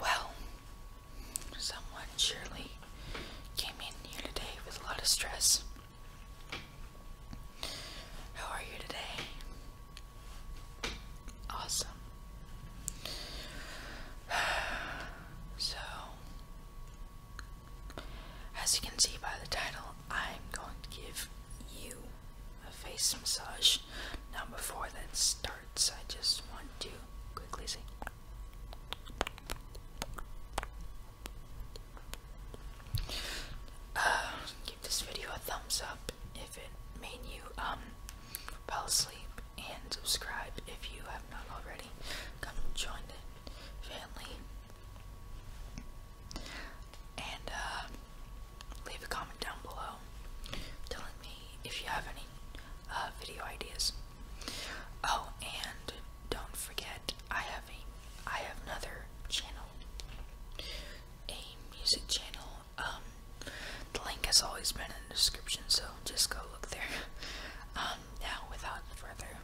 Well, someone surely came in here today with a lot of stress. How are you today? Awesome. So, as you can see by the title, I'm going to give you a face massage. Now, before that starts, I just want to quickly say. Uh, give this video a thumbs up if it made you um fall asleep and subscribe if you have not already. Come join the family. And uh, leave a comment down below telling me if you have any uh, video ideas. Oh, and don't forget, I have a I have another channel, a music channel. Um, the link has always been in the description, so just go look there. Um, now, without further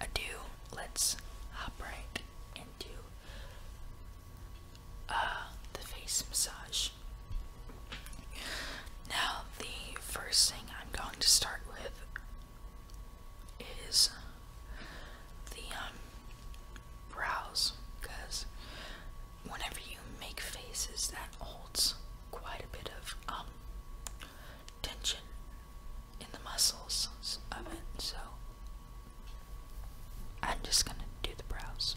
ado, let's hop right into uh, the face massage. Now, the first thing I'm going to start with is the um, brows, because whenever you make faces, that holds quite a bit of um, tension in the muscles of it. So I'm just gonna do the brows.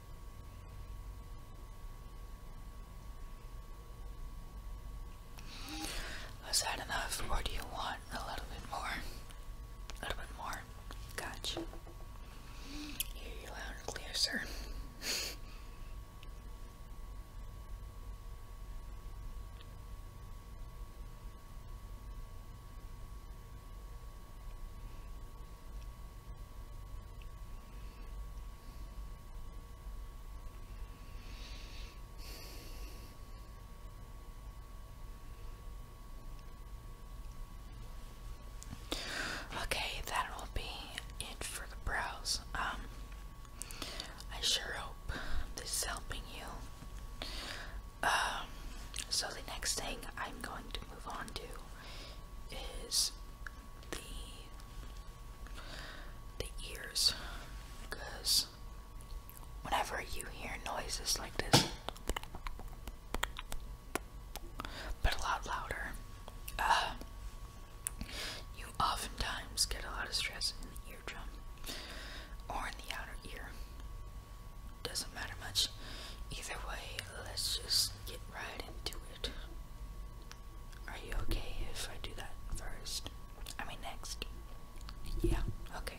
Was that enough, or do you want a little bit more? A little bit more. Gotcha. Hear you loud and Okay, that will be it for the brows. Um, I sure hope this is helping you. Um, so the next thing I'm going to move on to is the the ears because whenever you hear noises like this but a lot louder uh, you oftentimes get a lot of stress in the eardrum or in the outer ear doesn't matter much either way let's just get right into it are you okay if I do that first? I mean, next. Yeah, okay.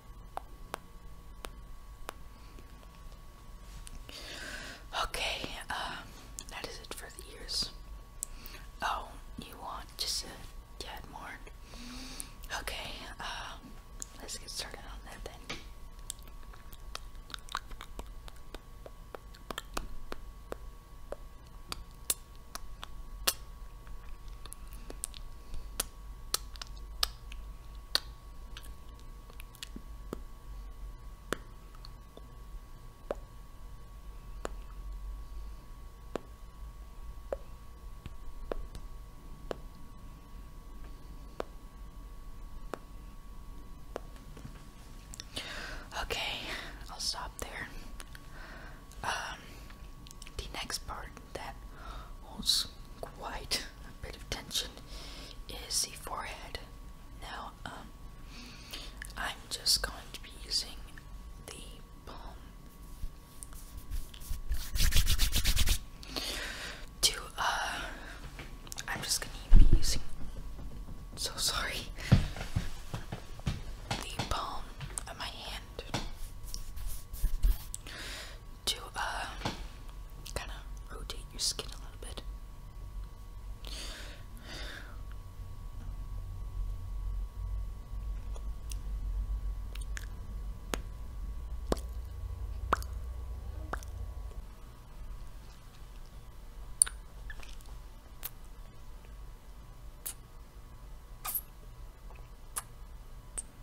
Okay, um, that is it for the ears. Oh, you want just a more? Okay, um, let's get started on that then. Okay, I'll stop there. Um, the next part that holds quite a bit of tension is the forehead. Now, um, I'm just going to be using the palm to, uh, I'm just gonna be using, so sorry, the palm of my hand to uh, kind of rotate your skin a little bit.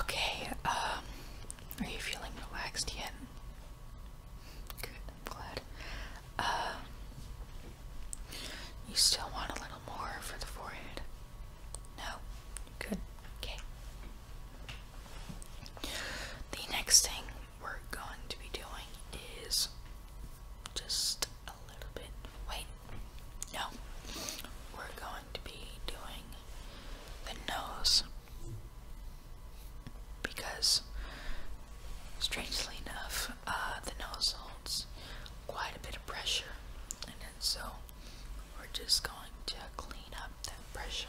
Okay, um, are you feeling relaxed yet? Good, I'm glad. Um, you still want a little more for the forehead? No? Good. Okay. The next thing we're going to be doing is just a little bit. Wait. No. We're going to be doing the nose. Because, strangely enough, uh, the nose holds quite a bit of pressure and so we're just going to clean up that pressure.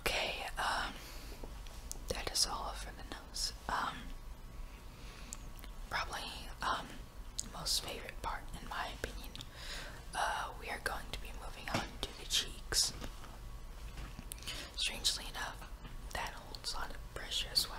Okay, um, that is all for the nose. Um, probably, um, most favorite part, in my opinion. Uh, we are going to be moving on to the cheeks. Strangely enough, that holds a lot of pressure as well.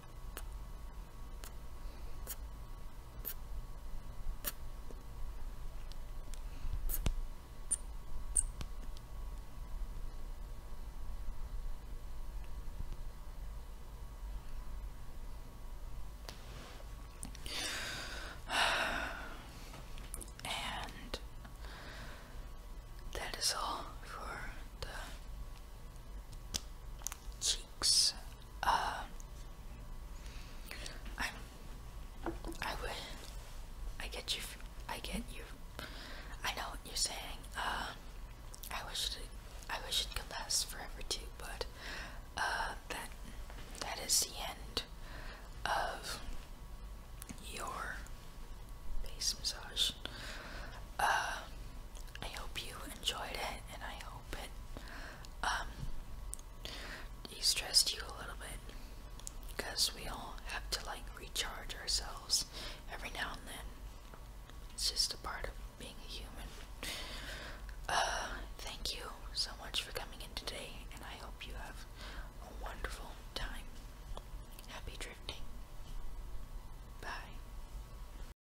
And that is all for the cheeks. Um, I'm. I will. I get you. I get you. I know what you're saying. Um, I wish. It, I wish it could last forever too, but uh, that that is the end of your face massage. Uh, I hope you enjoyed it, and I hope it um, de-stressed you a little bit, because we all have to like recharge ourselves every now and then. It's just a part of being a human. Uh, thank you so much for coming in today, and I hope you have a wonderful time. Happy drifting. Bye.